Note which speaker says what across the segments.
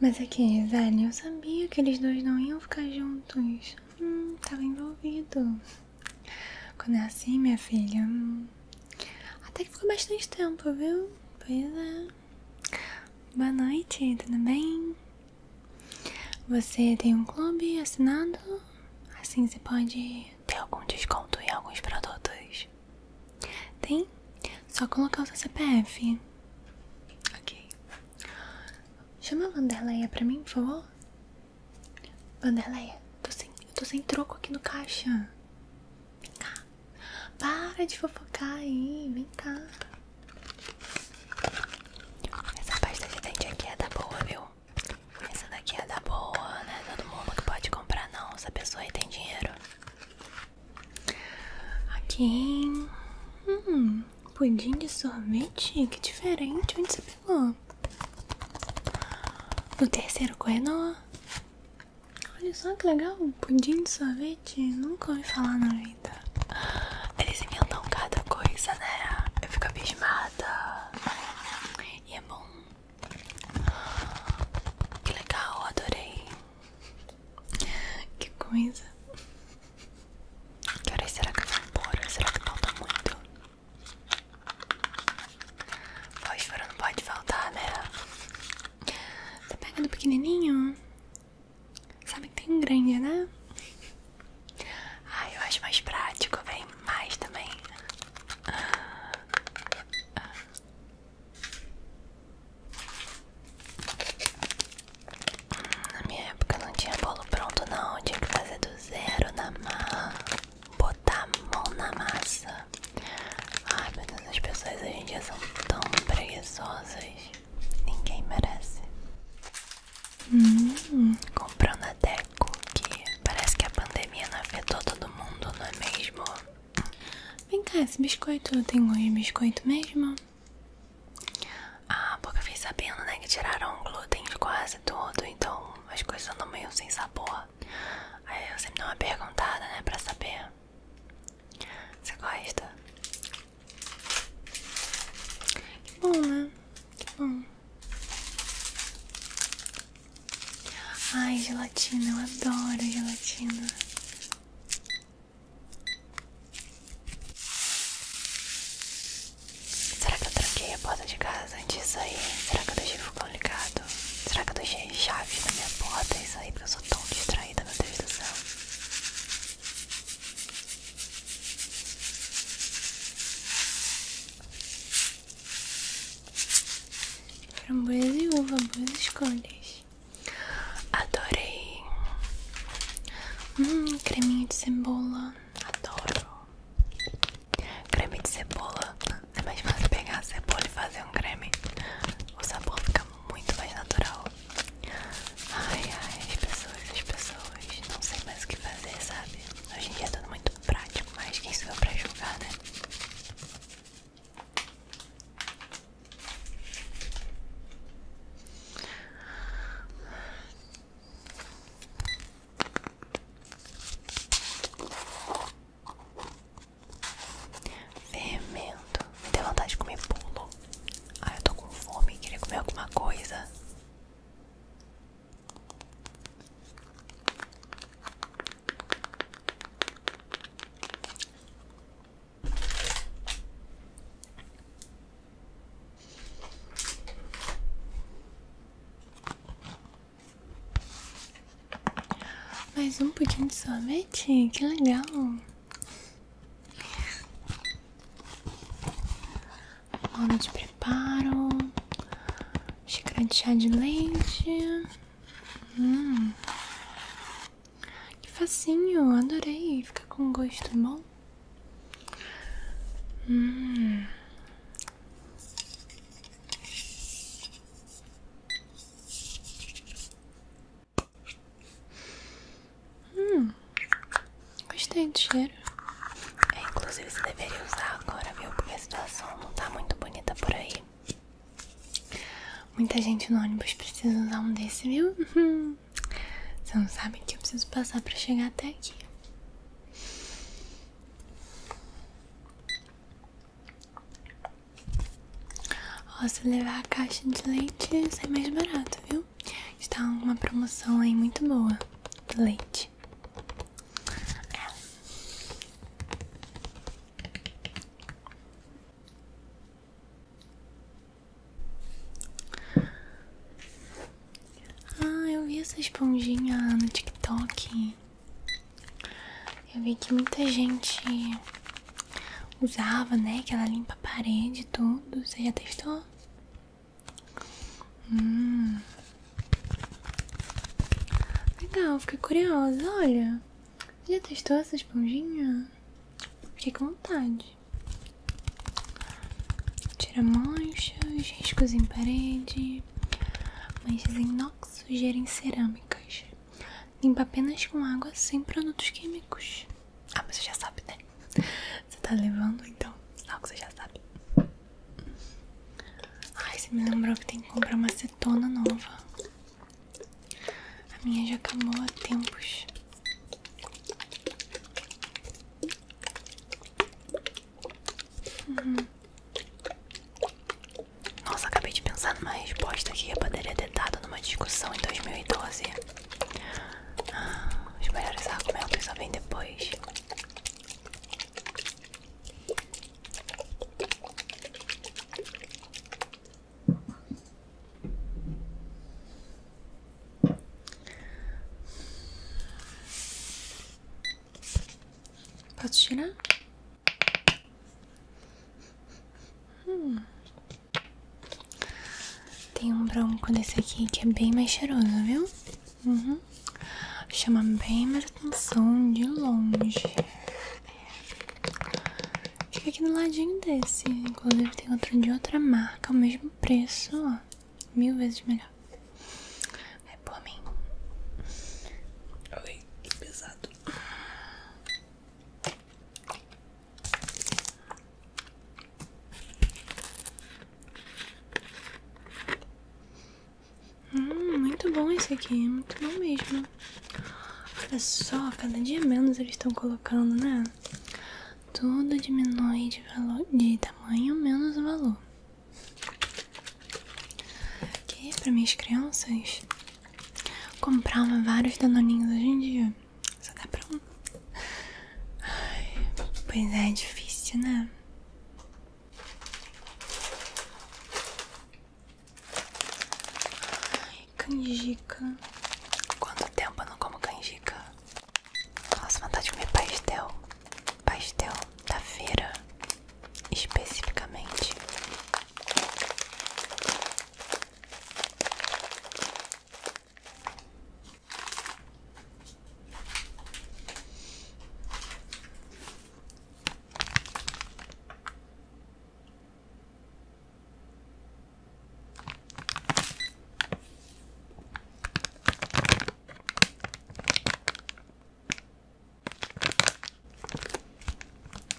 Speaker 1: Mas aqui, é Gisele, eu sabia que eles dois não iam ficar juntos. Hum, tava envolvido. Quando é assim, minha filha. Hum, até que ficou bastante tempo, viu? Pois é. Boa noite, tudo bem? Você tem um clube assinado? Assim você pode ter algum desconto em alguns produtos. Tem? Só colocar o seu CPF. Ok. Chama a Vanderleia pra mim, por favor. Vanderleia, tô sem, tô sem troco aqui no caixa. Vem cá. Para de fofocar aí. Vem cá. Essa pasta de dente aqui é da boa, viu? Essa daqui é da boa, né? Todo mundo que pode comprar, não. Essa pessoa aí tem dinheiro. Aqui. Hum, pudim de sorvete? Que diferente. Onde você pegou? No terceiro corredor? Olha só que legal. Pudim de sorvete? Nunca ouvi falar na vida. Eles inventam cada coisa, né? Eu fico abismada. E é bom. Que legal, adorei. Que coisa. Que horas será que eu vou embora? Será que falta muito? Fósforo não pode faltar, né? tá pegando do pequenininho. Sabe que tem um grande, né? Ah, eu acho mais prático, vem mais também. Na minha época não tinha bolo pronto não, tinha que fazer do zero na mão, botar a mão na massa. Ai meu Deus, pessoas hoje em dia são tão preguiçosas, ninguém merece. Hum, comprando até cookie, parece que a pandemia não afetou todo mundo, não é mesmo? Vem cá, esse biscoito tem gosto de biscoito mesmo? Ah, porque eu fiz sabendo, né, que tiraram o glúten de quase tudo, então as coisas andam meio sem sabor. Aí eu sempre dou uma perguntada, né, pra saber. Você gosta? Que bom, né? Que bom. Ai, gelatina, eu adoro gelatina. Será que eu tranquei a porta de casa antes de sair? Será que eu deixei o fogão ligado? Será que eu deixei chaves na minha porta e saí porque eu sou tão distraída, meu Deus do céu? Framboesa e uva, boas escolhas. Adorei. Hum, creminho de cebola. Adoro. Creme de cebola. É mais fácil pegar a cebola e fazer um creme. O sabor fica muito mais natural. Ai, ai, as pessoas, as pessoas. Não sei mais o que fazer, sabe? Hoje em dia é tudo muito prático, mas quem sou eu pra julgar, né? Fermento. Me deu vontade de comer bolo. Ah, eu tô com fome. Queria comer alguma coisa. Mais um pudim de sorvete, que legal. Mola de preparo, xícara de chá de leite. Hum. Que facinho, adorei. Fica com um gosto bom. Hum. hum. Gostei do cheiro. É, inclusive você deveria usar agora, viu? Porque a situação não tá muito bonita por aí. Muita gente no ônibus precisa usar um desse, viu? Você não sabe o que eu preciso passar para chegar até aqui. Ó, se levar a caixa de leite sai é mais barato, viu? Está uma promoção aí muito boa do leite. É. Ah, eu vi essa esponjinha no TikTok. Eu vi que muita gente usava, né? Que ela limpa a parede e tudo. Você já testou? Hum. Legal, então, fiquei curiosa, olha. Já testou essa esponjinha? Fiquei com vontade. Tira manchas, riscos em parede, manchas em inox sujeira em cerâmicas. Limpa apenas com água sem produtos químicos. Ah, mas você já sabe, né? Você tá levando, então algo você já sabe. Ai, você me lembrou que tem que comprar uma acetona nova. A minha já acabou há tempos. Uhum. Nossa, acabei de pensar numa resposta que eu poderia ter dado numa discussão em 2012. Ah, os melhores argumentos só vêm depois. Pode tirar? Hum. Tem um bronco desse aqui que é bem mais cheiroso, viu? Uhum. Chama bem mais atenção de longe. É. Fica aqui do ladinho desse. Inclusive tem outro de outra marca, o mesmo preço, ó. Mil vezes melhor. É por mim. Oi, que pesado. Hum, muito bom esse aqui, muito bom mesmo. Olha só, cada dia menos eles estão colocando, né? Tudo diminui de valor, de tamanho menos o valor. Que para minhas crianças comprar vários danoninhos hoje em dia só dá para um. Ai, pois é, é difícil, né? Ai, canjica. Quanto tempo eu não como canjica? Nossa, vontade de comer pastel. Pastel da feira, especificamente.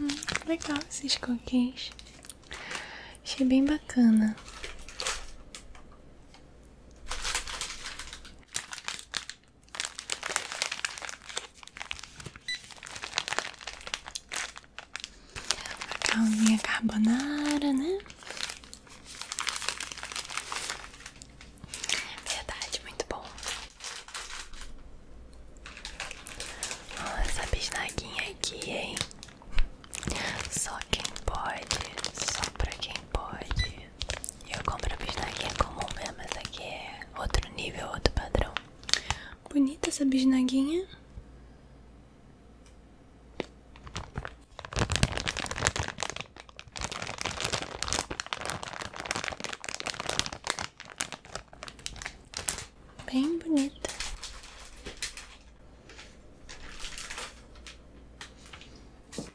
Speaker 1: Hum, legal esses coquês. Achei bem bacana. Uma calminha carbonara, né? Verdade, muito bom. Olha essa bisnaguinha aqui, hein? Só quem pode, só pra quem pode pistaquinha. Eu compro bisnaguinha comum mesmo, essa aqui é outro nível, outro padrão. Bonita essa bisnaguinha. Bem bonita.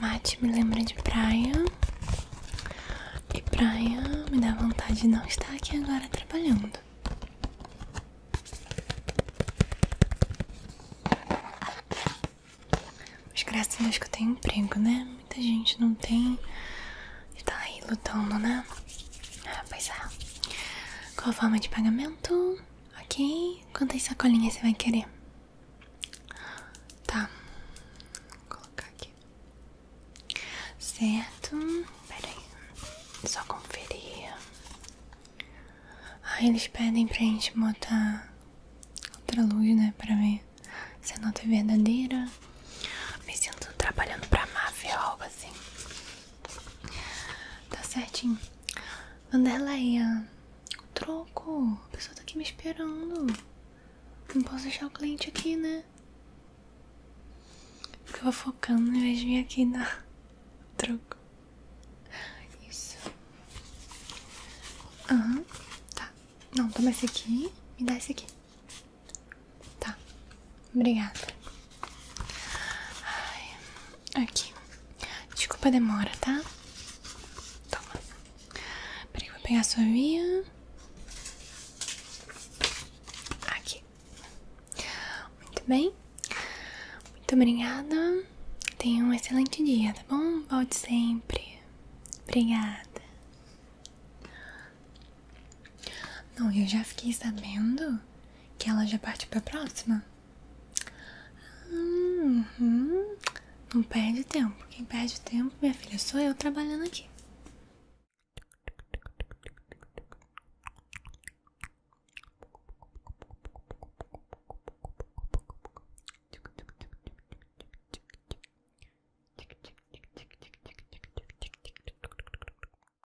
Speaker 1: Mate me lembra de praia. E praia me dá vontade de não estar aqui agora trabalhando. Mas graças a Deus que eu tenho emprego, né? Muita gente não tem e tá aí lutando, né? Ah, pois é. Qual a forma de pagamento? Ok? Quantas sacolinhas você vai querer? Tá. Vou colocar aqui. Certo. Pera Só conferir. Ah, eles pedem pra gente botar outra luz, né? Pra ver se a é nota é verdadeira. Me sinto trabalhando pra máfia ou algo assim. Tá certinho. Vanderleia, troco. A pessoa tá aqui me esperando. Não posso deixar o cliente aqui, né? Porque eu vou focando ao invés de vir aqui na troco. Isso. Aham, tá. Não, toma esse aqui. Me dá esse aqui. Tá. Obrigada. aqui. Desculpa a demora, tá? Toma. Peraí, vou pegar a sua via. Aqui. Muito bem. Muito obrigada. Tenha um excelente dia, tá bom? Volte sempre. Obrigada. Não, eu já fiquei sabendo que ela já partiu pra próxima. Uhum. Não perde tempo. Quem perde tempo, minha filha, sou eu trabalhando aqui.